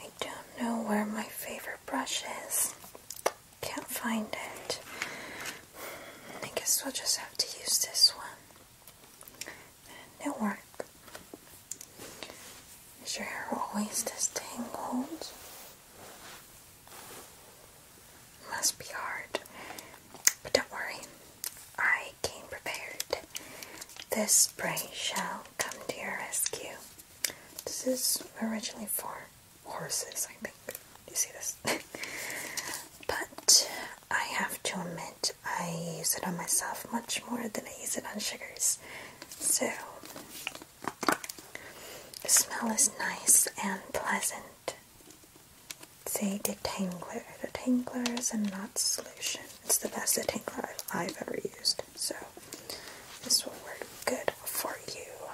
I don't know where my favorite brush is. Can't find it. I guess we'll just have to use this one. It'll work. Is your hair always this tangled? Must be hard. But don't worry, I came prepared. This spray shall come to your rescue. This is originally for horses, I think. You see this? but I have to admit, I use it on myself much more than I use it on sugars. So, the smell is nice and pleasant. See, detangler. Detangler is a not solution. It's the best detangler I've ever used, so this will work good for you.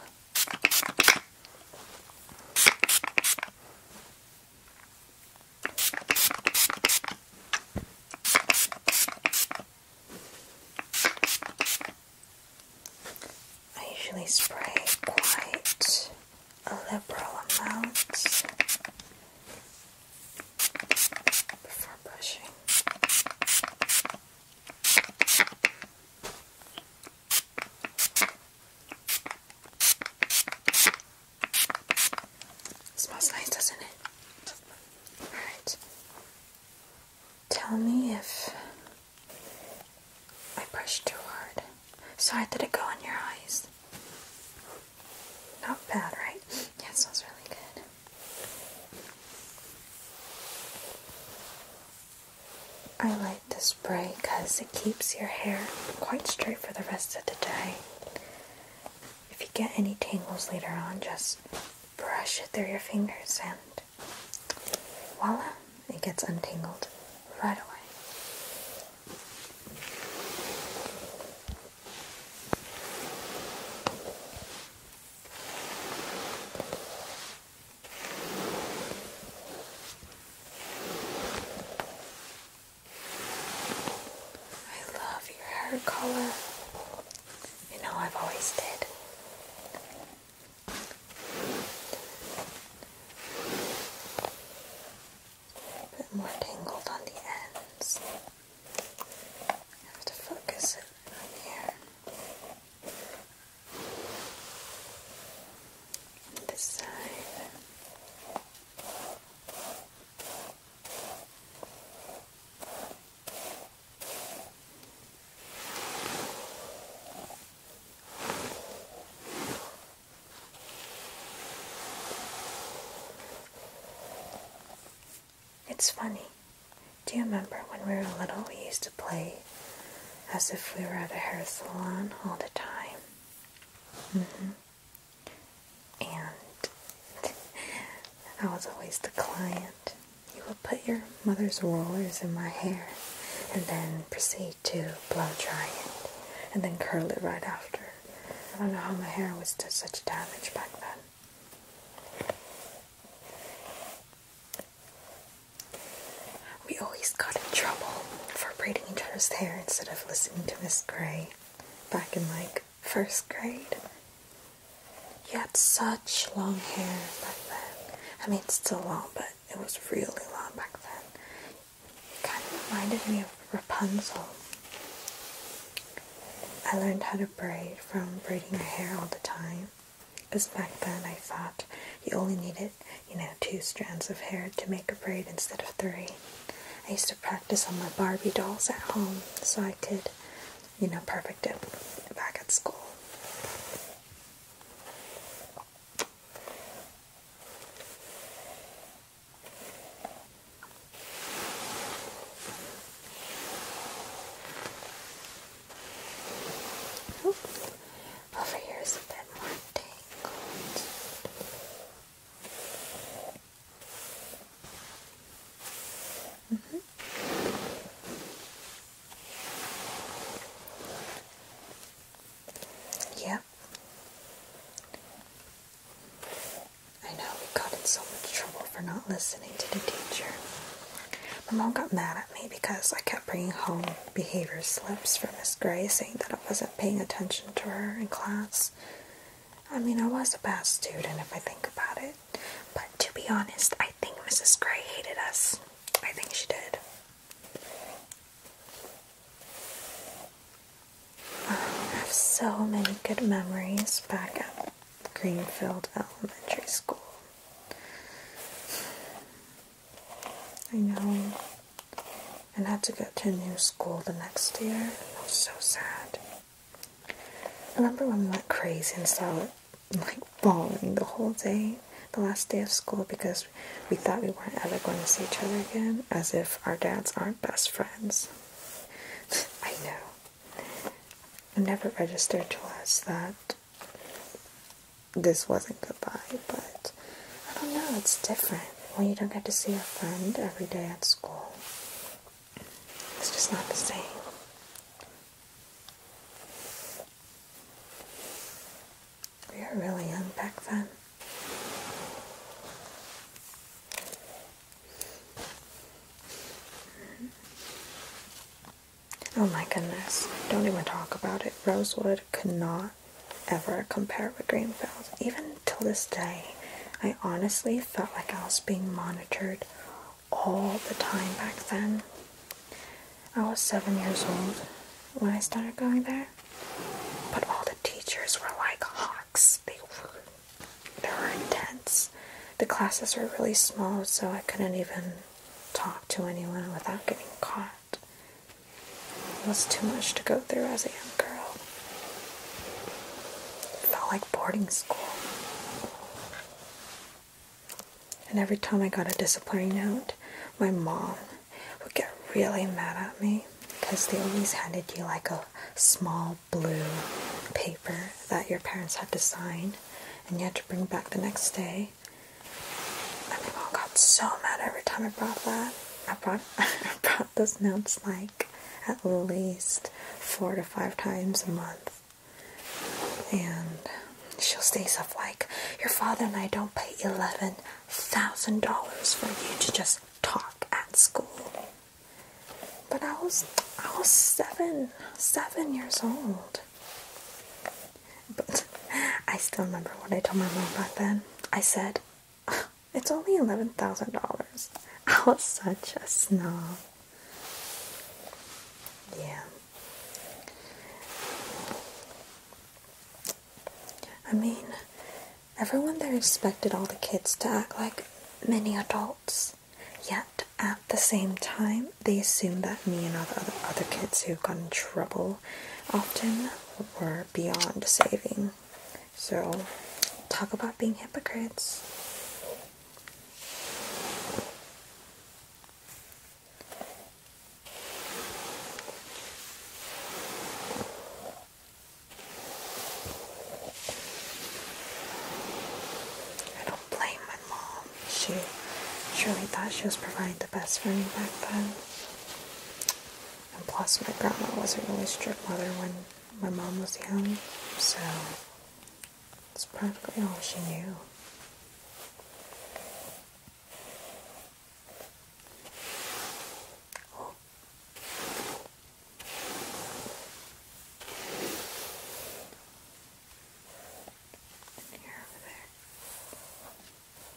I usually spray quite a liberal amount before brushing. smells nice, doesn't it? Alright. Tell me if I brushed too hard. Sorry, did it go on your eyes? Not bad, right? Yeah, it smells really good. I like the spray because it keeps your hair quite straight for the rest of the day. If you get any tangles later on, just brush it through your fingers and voila, it gets untangled right away. I love your hair color. You know, I've always did. A bit more tangled on the ends. I have to focus it on here. And this side. It's funny. Do you remember when we were little, we used to play as if we were at a hair salon all the time? Mm-hmm. And I was always the client. You would put your mother's rollers in my hair and then proceed to blow dry it and then curl it right after. I don't know how my hair was did such damage back then. We always got in trouble for braiding each other's hair instead of listening to Miss Gray back in like first grade. You had such long hair back then. I mean, it's still long, but it was really long back then. It kind of reminded me of Rapunzel. I learned how to braid from braiding my hair all the time. Because back then I thought you only needed, you know, two strands of hair to make a braid instead of three. I used to practice on my Barbie dolls at home so I could, you know, perfect it back at school. Over here is a bit more tangled. Mm-hmm. Yep. I know we got in so much trouble for not listening to the teacher. My mom got mad at me because I kept bringing home behavior slips for Miss Gray saying that I wasn't paying attention to her in class. I mean, I was a bad student if I think about it, but to be honest, I think Mrs. Gray hated us. I think she did. I have so many good memories back at Greenfield Elementary School. I know. And had to go to a new school the next year. It was so sad. I remember when we went crazy and started like bawling the whole day, the last day of school, because we thought we weren't ever going to see each other again, as if our dads aren't best friends. I know. I never registered to us that this wasn't goodbye, but I don't know, it's different. When you don't get to see a friend every day at school, it's just not the same. We were really young back then. Oh my goodness. Don't even talk about it. Rosewood could not ever compare with Greenfield. Even till this day, I honestly felt like I was being monitored all the time back then. I was seven years old when I started going there, but all the teachers were like hawks. They were there were intense. The classes were really small, so I couldn't even talk to anyone without getting caught. It was too much to go through as a young girl. It felt like boarding school. And every time I got a disciplinary note, my mom would get really mad at me because they always handed you like a small blue paper that your parents had to sign and you had to bring back the next day. And my mom got so mad every time I brought that. I brought I brought those notes like at least four to five times a month. And she'll say stuff like, Your father and I don't pay eleven thousand dollars for you to just talk at school. But I was I was seven seven years old. But I still remember what I told my mom back then. I said, "It's only eleven thousand dollars." I was such a snob. Yeah. I mean, everyone there expected all the kids to act like many adults. Yet at the same time, they assumed that me and all the other, other kids who got in trouble often were beyond saving. So, talk about being hypocrites. I don't blame mom. She truly thought she was providing the best for me back then. And plus, my grandma was a really strict mother when my mom was young, so it's practically all she knew.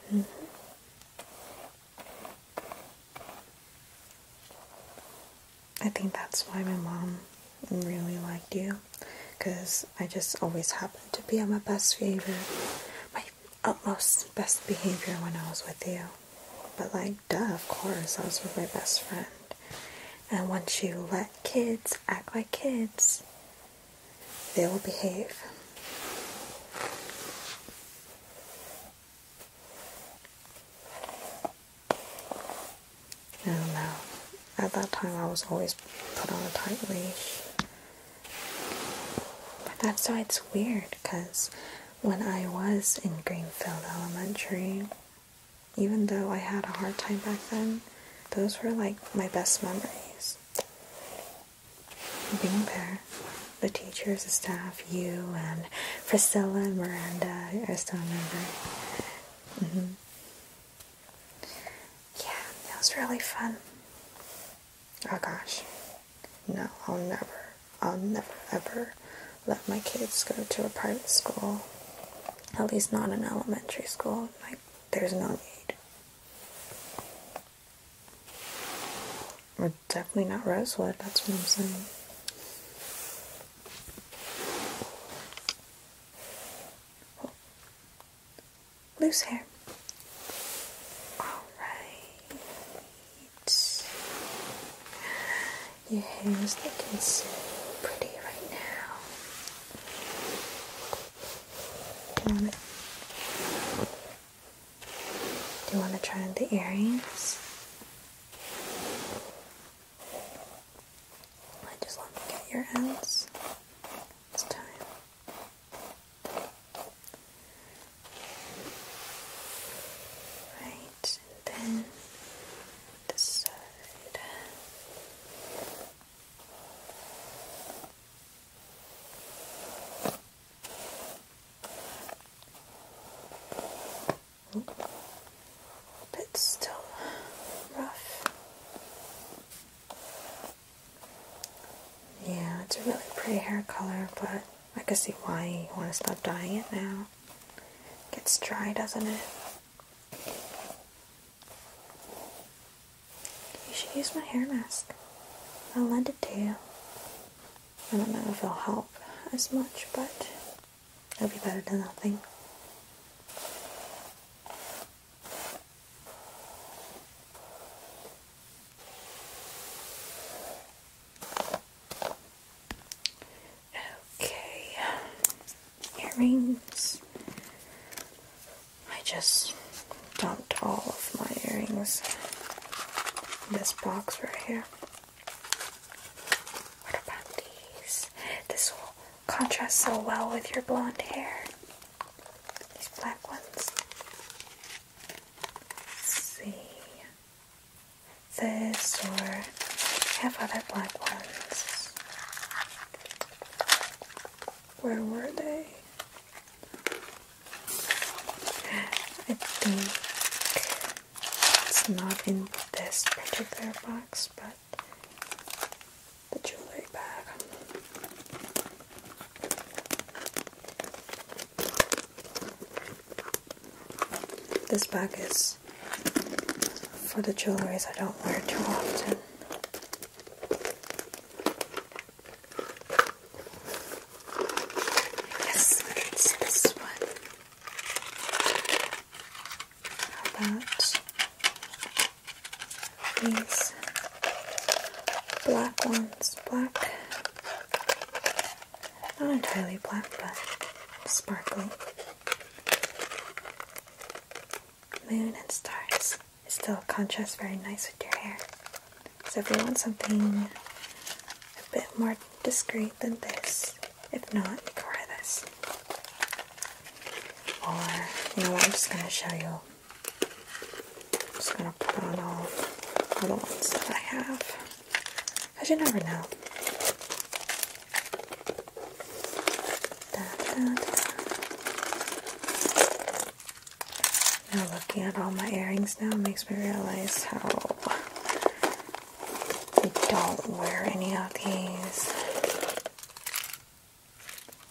Mm-hmm. I think that's why my mom really liked you because I just always happened to be at my best behavior, my utmost best behavior when I was with you. But, like, duh, of course, I was with my best friend. And once you let kids act like kids, they will behave. I do At that time, I was always put on a tight leash. that's why it's weird, because when I was in Greenfield Elementary, even though I had a hard time back then, those were like my best memories. Being there, the teachers, the staff, you, and Priscilla and Miranda, I still remember. Mm-hmm. Yeah, it was really fun. Oh gosh, no, I'll never, I'll never ever let my kids go to a private school. At least not in elementary school. Like, there's no need. We're definitely not Rosewood, that's what I'm saying. Loose hair. Alright. Your hair is looking so pretty right now. Do you want to, do you want to try the earrings? I just want to get your ends this time. Right, then this side. But it's still rough. Yeah, it's a really pretty hair color, but I can see why you want to stop dyeing it now. It gets dry, doesn't it? You should use my hair mask. I'll lend it to you. I don't know if it'll help as much, but it'll be better than nothing. Okay, earrings. I just dumped all of my earrings in this box right here. What about these? This will contrast so well with your blonde hair. These black ones. see. This or have other black ones. Where were they? I think it's not in this particular box, but the jewelry bag. This bag is for the jewelries I don't wear too often. Yes, it's this one. about these black ones? Black, not entirely black, but sparkly moon and stars. It still contrasts very nice with your hair. So if you want something a bit more discreet than this, if not, you can wear this. Or, you know what, I'm just going to show you. I'm just going to put on all, all the ones that I have. Because you never know. Now looking at all my earrings now makes me realize how I don't wear any of these.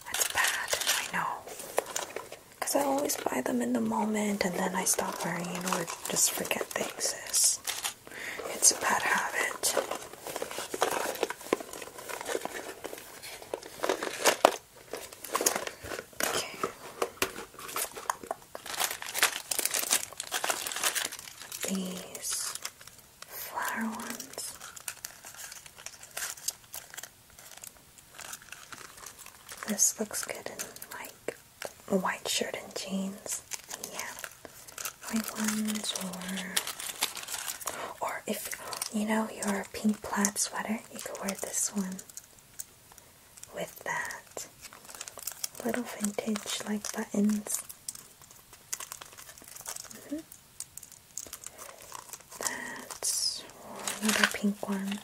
That's bad, I know. Because I always buy them in the moment and then I stop wearing it or just forget things. It's a bad habit. Okay. These flower ones. This looks good in like a white shirt and jeans. Yeah white ones or or if you know your pink plaid sweater you could wear this one with that little vintage like buttons mm-hmm. that's another pink one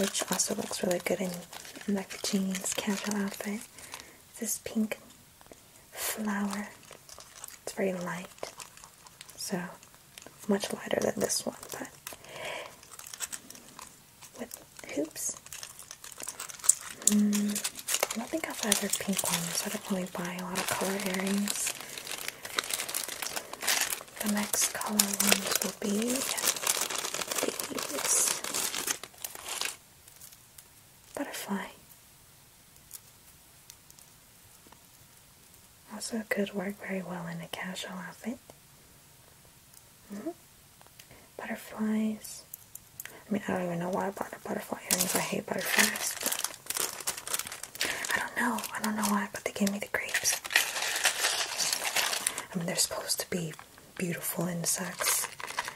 which also looks really good in, like jeans casual outfit this pink flower. It's very light, so much lighter than this one, but with hoops. Mm, I don't think I've ever pink ones. I don't really buy a lot of color earrings. The next color ones will be these butterfly also could work very well in a casual outfit. Hmm? Butterflies. I mean, I don't even know why I bought the butterfly earrings. I hate butterflies. But I don't know. I don't know why, but they gave me the grapes. I mean, they're supposed to be beautiful insects.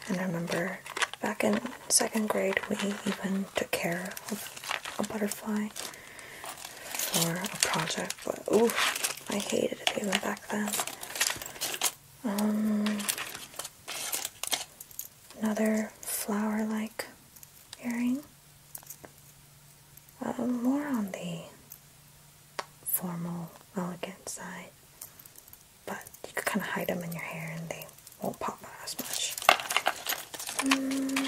And remember back in second grade, we even took care of a butterfly for a project, but ooh, I hated it even back then. Um, another flower-like earring. Uh, more on the formal, elegant side but you can kind of hide them in your hair and they won't pop out as much. Hmm.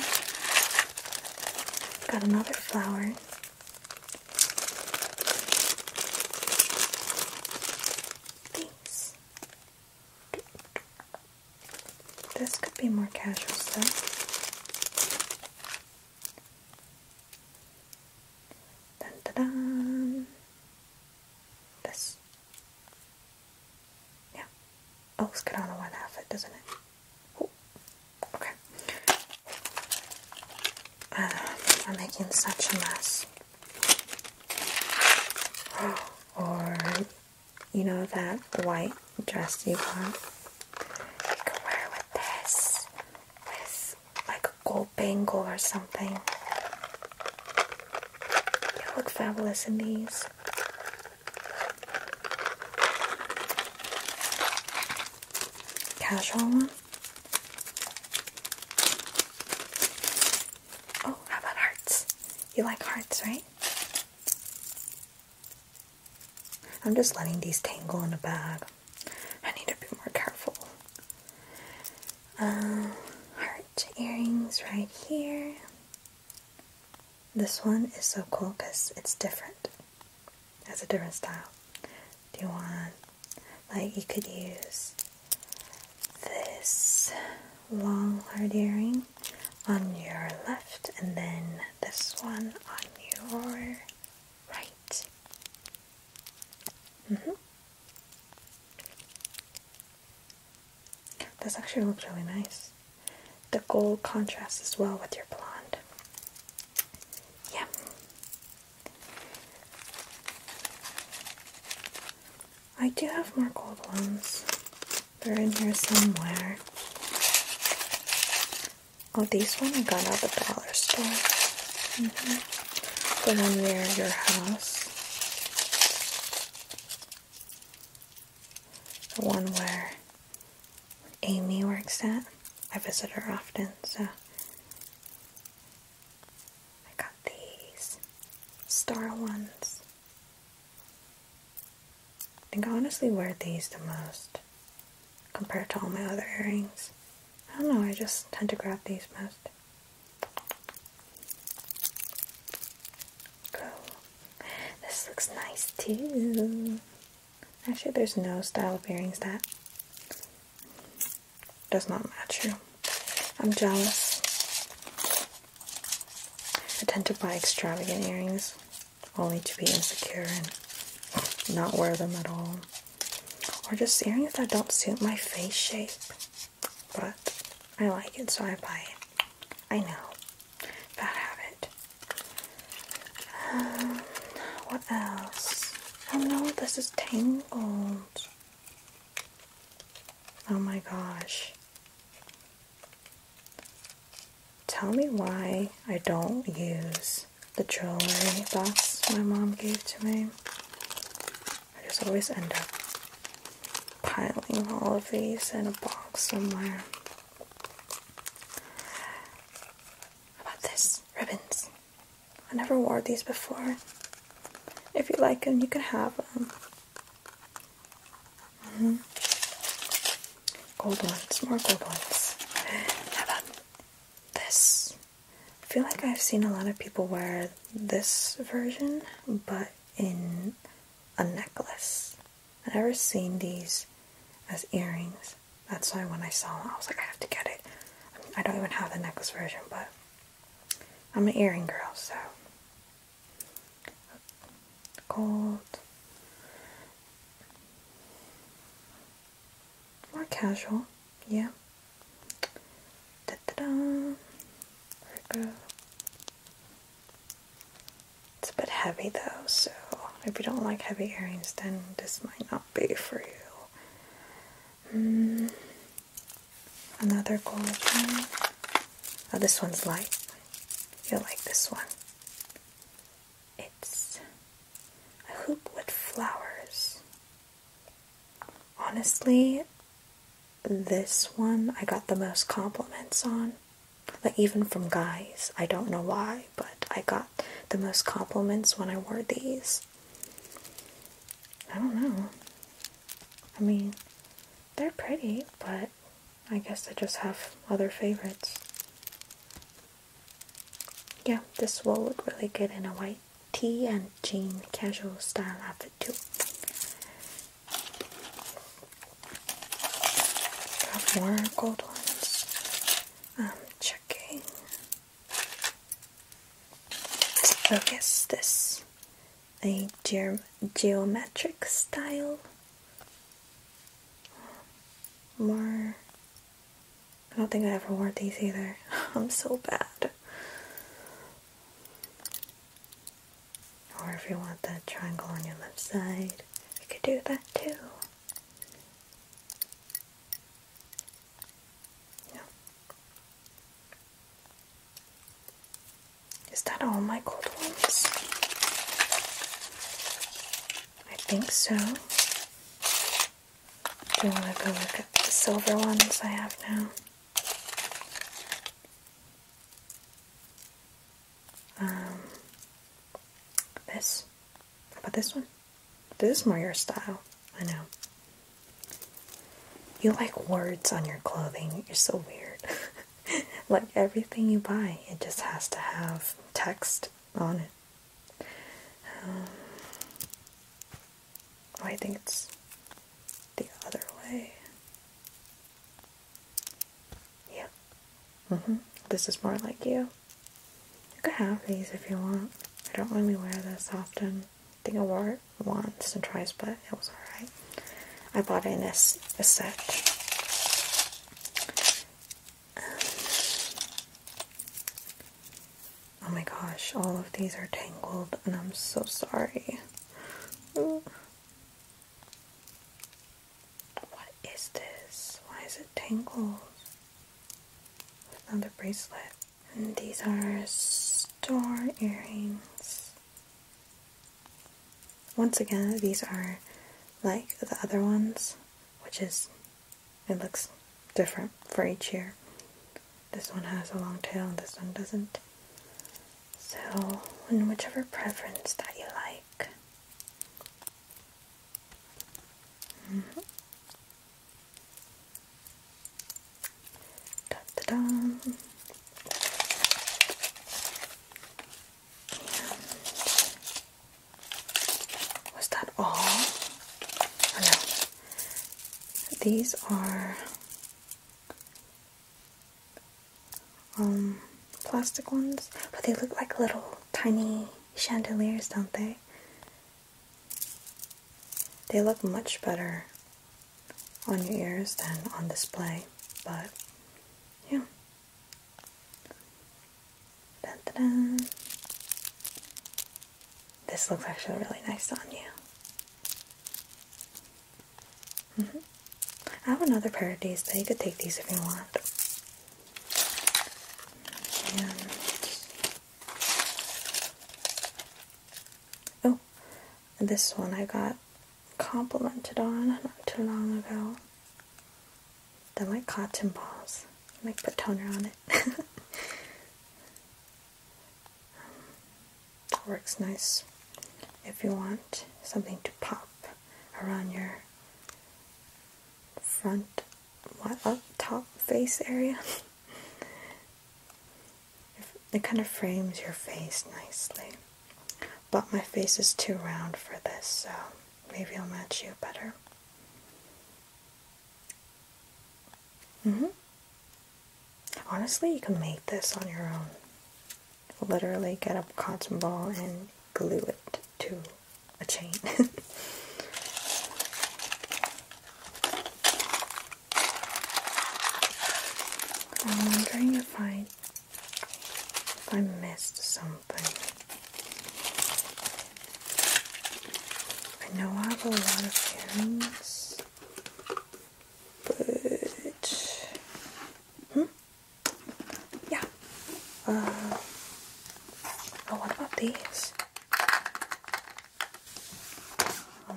Got another flower. Thanks. This could be more casual stuff. Dun, dun, dun. This yeah. Oh, looks good on a one outfit, doesn't it? Ooh. Okay. Uh, I'm making such a mess. Or, you know that white dress you want? You can wear with this. With like a gold bangle or something. You look fabulous in these. Casual one. Oh, how about hearts? You like hearts, right? I'm just letting these tangle in a bag. I need to be more careful. Uh, heart earrings right here. This one is so cool because it's different. It has a different style. Do you want, like, you could use this long heart earring on your left and then this one on your right. -hmm. This actually looks really nice. The gold contrasts well with your blonde. Yeah. I do have more gold ones. They're in here somewhere. Oh, these one I got at the dollar store. Mm -hmm. near your house the one where Amy works at. I visit her often, so I got these star ones. I think I honestly wear these the most compared to all my other earrings. I don't know, I just tend to grab these most. This looks nice too. Actually, there's no style of earrings that does not match you. I'm jealous. I tend to buy extravagant earrings only to be insecure and not wear them at all. Or just earrings that don't suit my face shape. But I like it, so I buy it. I know. Bad habit. Um, what else? Oh no, this is tangled. Oh my gosh. Tell me why I don't use the jewelry box my mom gave to me. I just always end up piling all of these in a box somewhere. about this? Ribbons. I never wore these before. If you like them, you can have them. Mm -hmm. Gold ones, more gold ones. How about this? I feel like I've seen a lot of people wear this version, but in a necklace. I never seen these as earrings. That's why when I saw them, I was like, I have to get it. I, don't even have the necklace version, but I'm an earring girl, so. Gold. More casual, yeah. Da -da -da. Virgo. It's a bit heavy though, so if you don't like heavy earrings, then this might not be for you. Hmm. Another gold one. Oh, this one's light. You'll like this one. It's a hoop with flowers. Honestly, this one I got the most compliments on. Like, even from guys. I don't know why, but I got the most compliments when I wore these. I don't know. I mean, they're pretty, but I guess I just have other favorites. Yeah, this will look really good in a white tee and jean casual style outfit too. more gold ones. I'm checking. Oh yes, this. A ge geometric style. More... I don't think I ever wore these either. I'm so bad. Or if you want that triangle on your left side, you could do that too. Is that all my gold ones? I think so. Do you want to go look at the silver ones I have now? Um, this. about this one? This is more your style. I know. You like words on your clothing. You're so weird. like everything you buy, it just has to have text on it. Um, I think it's the other way. Yeah. hmm. This is more like you. You could have these if you want. I don't really wear this often. I think I wore it once and twice, but it was alright. I bought in a, a set. Um, oh my gosh, all of these are tangled and I'm so sorry. What is this? Why is it tangled? Another bracelet. And these are star earrings. Once again, these are like the other ones, which is, it looks different for each year. This one has a long tail and this one doesn't. So, in whichever preference that you like. da da da. was that all? Oh, These are um, plastic ones, but they look like little tiny chandeliers, don't they? They look much better on your ears than on display, but yeah. This looks actually really nice on you. Mm-hmm. I have another pair of these, but you could take these if you want. Oh, this one I got complimented on not too long ago. They're like cotton balls. I put toner on it. Works nice if you want something to pop around your front, what, up uh, top face area. it kind of frames your face nicely. But my face is too round for this, so maybe I'll match you better. hmm Honestly, you can make this on your own. Literally get a cotton ball and glue it to a chain. I'm wondering if I if I missed something. I know I have a lot of earrings but hmm? yeah. Uh, oh, what about these? Um,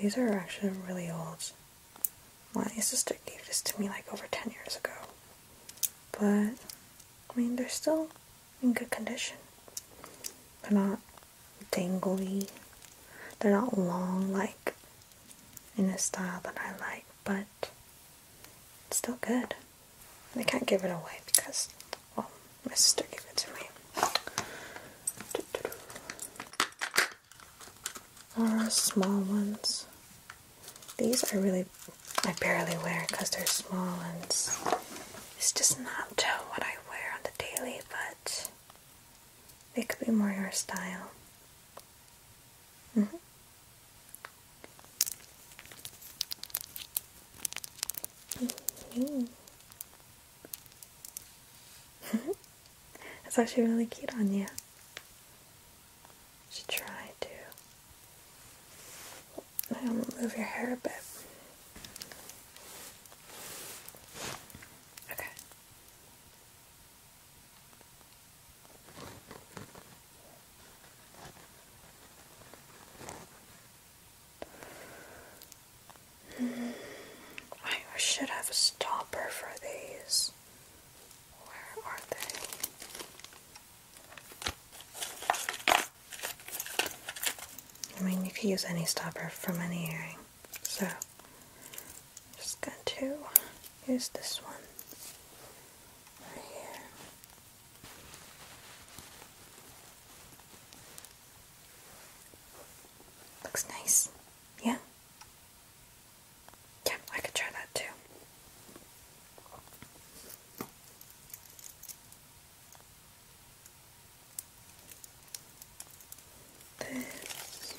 these are actually really old. My sister gave this to me like over 10 years ago. But, I mean, they're still in good condition. They're not dangly. They're not long like in a style that I like, but it's still good. I can't give it away because, well, my sister gave it to me. Are uh, small ones. These are really, I barely wear because they're small ones. it's just not what I wear on the daily, but they could be more your style. Mm -hmm. Mm mm-hmm. That's actually really cute on you. Should try to move your hair a bit. Okay. Mm-hmm. I should have a stopper for these. Where are they? I mean, you could use any stopper from any earring. So I'm just going to use this one right here. Looks nice, yeah? Yeah, I could try that too this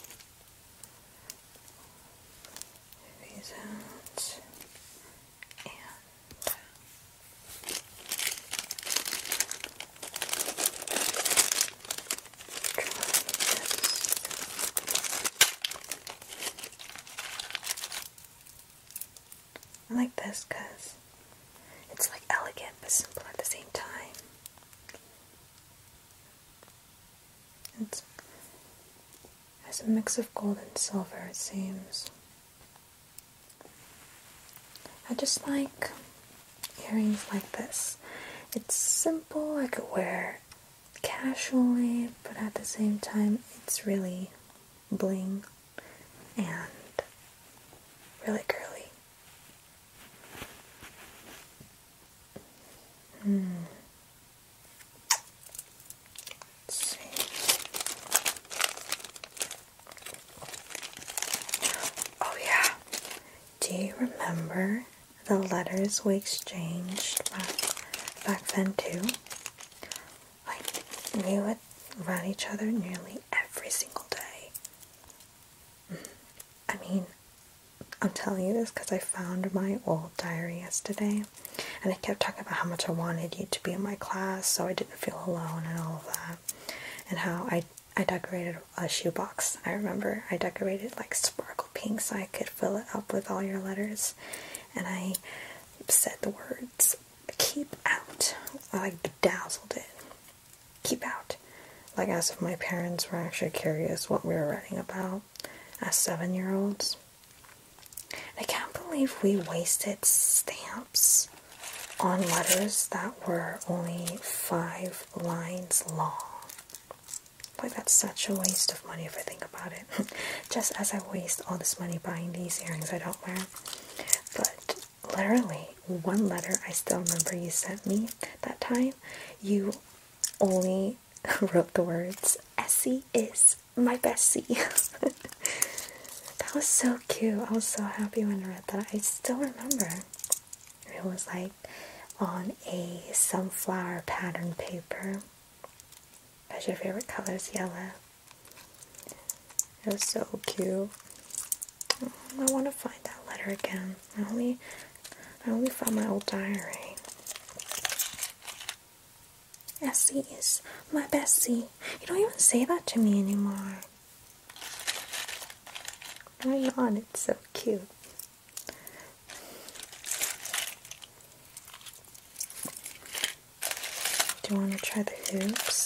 these out and I like this because it's like elegant but simple at the same time. It's as a mix of gold and silver, it seems. I just like earrings like this. It's simple, I could wear casually, but at the same time, it's really bling and really girly. Hmm. Oh yeah. Do you remember the letters we exchanged back, then too? Like we would write each other nearly every single day. Hmm. I mean, I'm telling you this because I found my old diary yesterday and I kept talking about how much I wanted you to be in my class so I didn't feel alone and all of that. And how I I decorated a shoebox. I remember I decorated like sparkle pink so I could fill it up with all your letters. And I said the words keep out. I like bedazzled it keep out. Like, as if my parents were actually curious what we were writing about as seven year olds. I can't believe we wasted stamps on letters that were only five lines long. Like, that's such a waste of money if I think about it. Just as I waste all this money buying these earrings I don't wear. But literally, one letter I still remember you sent me that time, you only wrote the words Essie is my bestie. that was so cute. I was so happy when I read that. I still remember. It was like on a sunflower pattern paper. That's your favorite color is yellow. It was so cute. I want to find that letter again. I only I only found my old diary. Essie is my bestie. You don't even say that to me anymore. Why on, It's so cute. Do you want to try the hoops?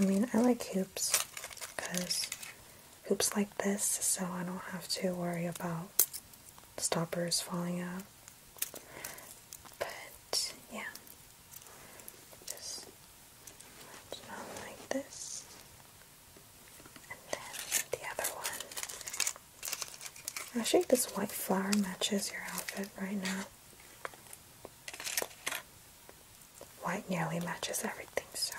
I mean, I like hoops because hoops like this, so I don't have to worry about stoppers falling out. But yeah, just like this, and then the other one. I think this white flower matches your outfit right now. White nearly matches everything, so.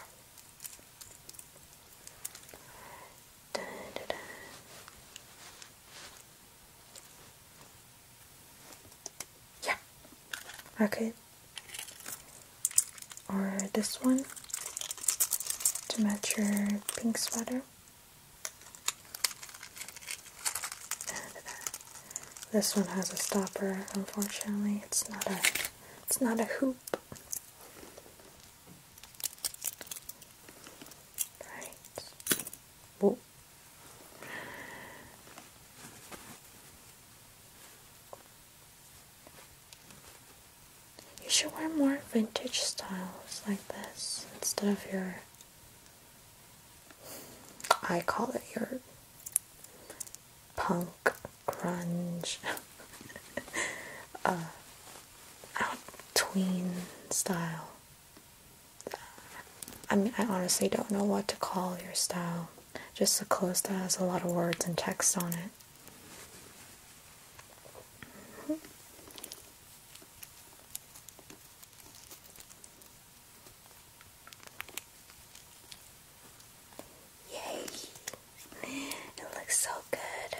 Yeah, okay. Or this one to match your pink sweater. This one has a stopper. Unfortunately, it's not a it's not a hoop. Right. Whoa. You should wear more vintage styles like this instead of your I call it your punk, grunge, uh, out tween style. I mean, I honestly don't know what to call your style. Just a clothes that has a lot of words and text on it. Yay! It looks so good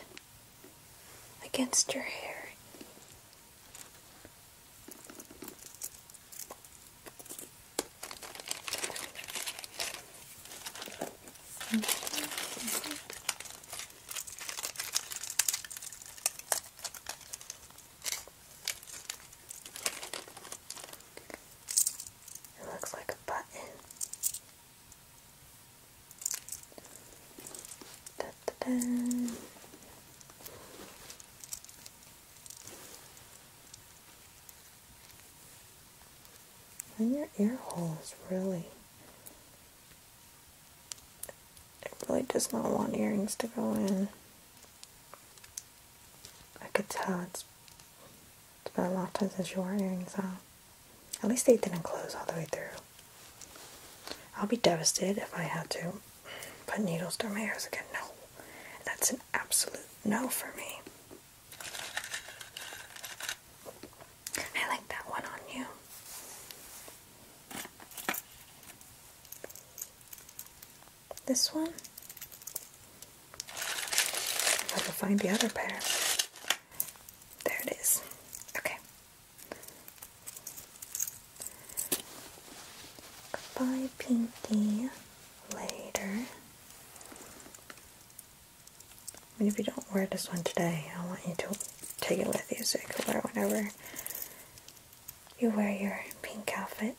against your hair. It looks like a button. In your ear holes really it really does not want earrings to go in. I could tell it's, it's been a lot of times since you earrings are. At least they didn't close all the way through. I'll be devastated if I had to put needles through my ears again. No. That's an absolute no for me. I like that one on you this one. I can find the other pair. There it is. Okay. Goodbye, Pinky. Later. I mean, if you don't wear this one today, I want you to take it with you so you can wear it whenever you wear your pink outfit.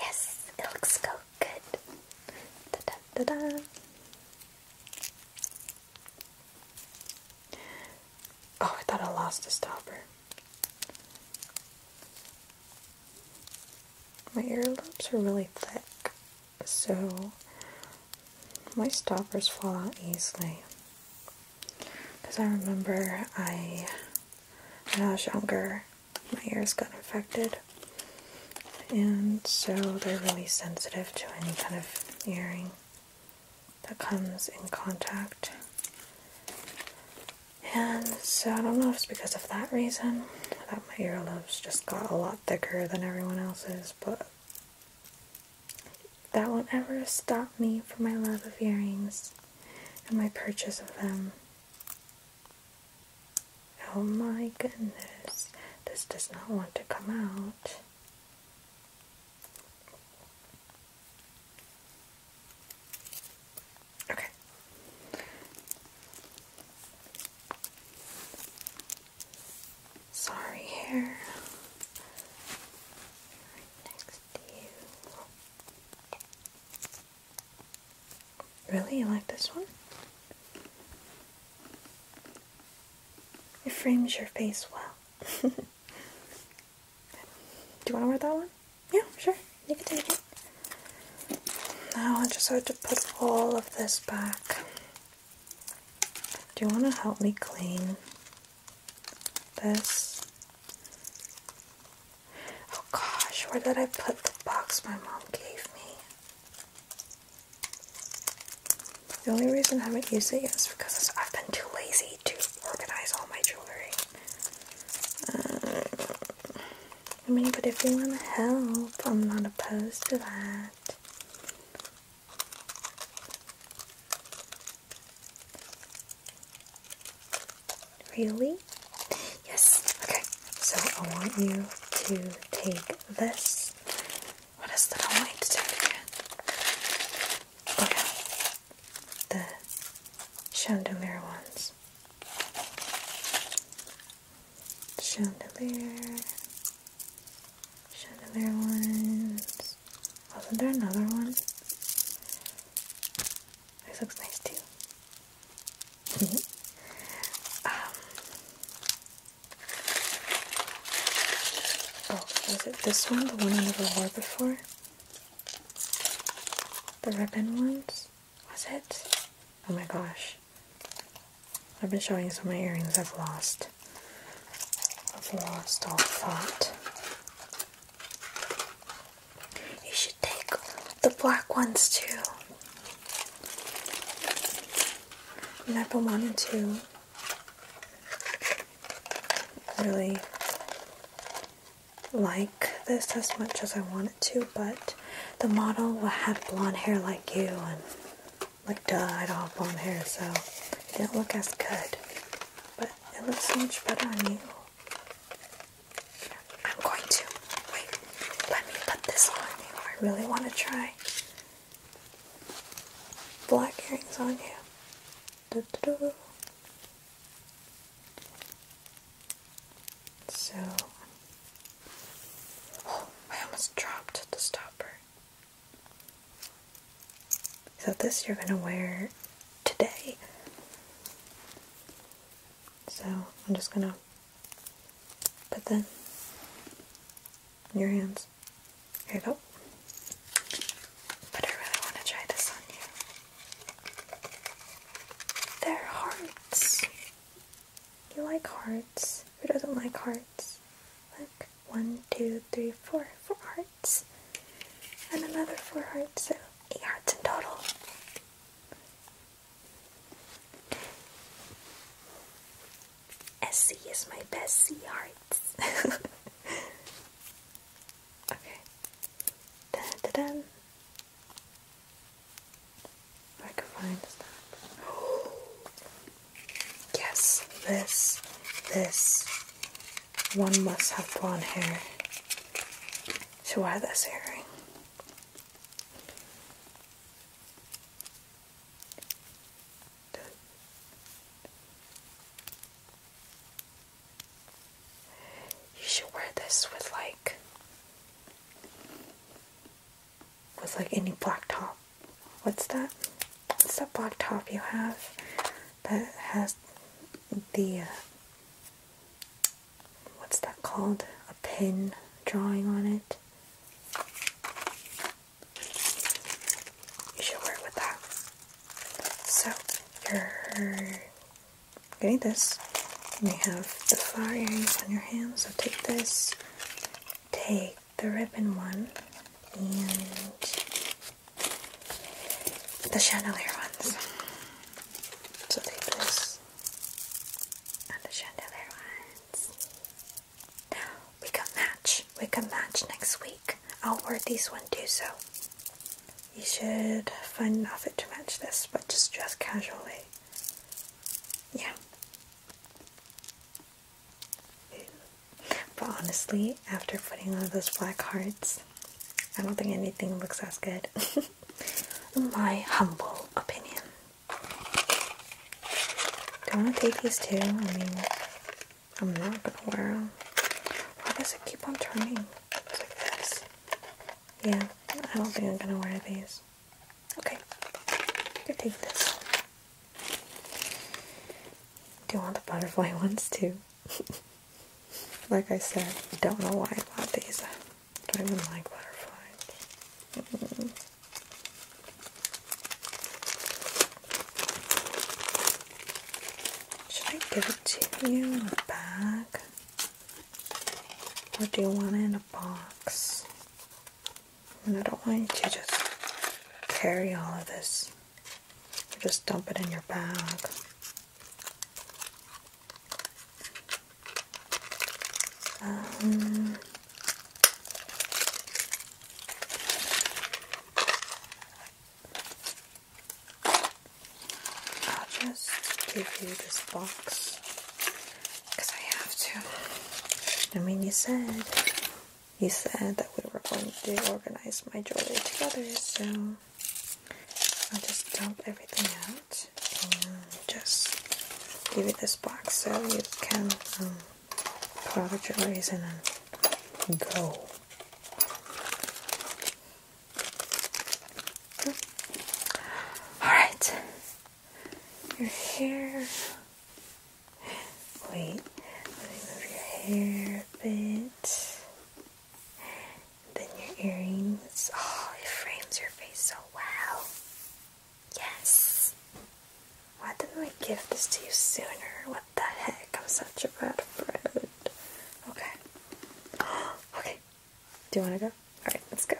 Yes, it looks good. Oh, I thought I lost a stopper. My earlobes are really thick so my stoppers fall out easily. Because I remember I, when I was younger, my ears got infected. And so they're really sensitive to any kind of earring that comes in contact. And so I don't know if it's because of that reason, my earlobes just got a lot thicker than everyone else's, but that won't ever stop me from my love of earrings and my purchase of them. Oh my goodness, this does not want to come out. Okay, Sorry hair. next Really? You like this one? It frames your face well. Do you want to wear that one? Yeah, sure. You can take it. Now I just have to put all of this back. Do you want to help me clean this? Oh gosh, where did I put the box my mom gave me? The only reason I haven't used it is because I've been too lazy to organize all my jewelry. Uh, I mean, but if you want to help, I'm not opposed to that. Really? Yes. Okay. So I want you to take this. What is that I am going to take again? Okay. The chandelier ones. Chandelier. Chandelier ones. Wasn't there another one? This looks nice too. um, oh, was it this one? The one I never wore before? The ribbon ones? Was it? Oh my gosh. I've been showing you some of my earrings I've lost. I've lost all thought. You should take the black ones too. I mean, I've been wanting to really like this as much as I want it to, but the model had blonde hair like you and like dyed all blonde hair, so it didn't look as good. But it looks so much better on you. I'm going to wait. Let me put this on you. I really want to try black earrings on you. So, oh, I almost dropped the stopper. So this you're going to wear today. So I'm just going to put that in your hands. Here you go. But I really want to try this on you. they hearts. You like hearts. Who doesn't like hearts? Like one, two, three, four, four hearts. And another four hearts, so eight hearts in total. SC is my best C hearts. okay. Dun, dun, dun. I can find that. Oh. Yes, this, this. One must have blonde hair to wear this earring. You should wear this with like was like any black top. What's that? What's that black top you have that has the, uh, what's that called? A pin drawing on it. You should wear it with that. So, you're getting this. And you have the flower earrings on your hand, so take this take the ribbon one and the chandelier ones. So take this and the chandelier ones. We can match. We can match next week. I'll wear these one too, so you should find an outfit to match this, but just dress casually. Yeah, but honestly, after putting on those black hearts, I don't think anything looks as good. my humble opinion. Do I want to take these too? I mean, I'm not gonna wear them. Why does it keep on turning? It's like this. Yeah, I don't think I'm gonna wear these. Okay, you take this. Do you want the butterfly ones too? like I said, don't know why I bought these. I don't even like butterflies. Mm-hmm. Should I give it to you in a bag? Or do you want it in a box? And I don't want you to just carry all of this or just dump it in your bag. Um, I'll just give you this box because I have to. I mean, you said. You said that we were going to organize my jewelry together, so I'll just dump everything out and just give you this box so you can um, put the jewelry in and go. Alright, your hair. Wait, let me move your hair a bit. Then your earrings. Oh, it frames your face so well. Yes. Why didn't I give this to you sooner? What the heck? I'm such a bad friend. Okay. okay. Do you want to go? Alright, let's go.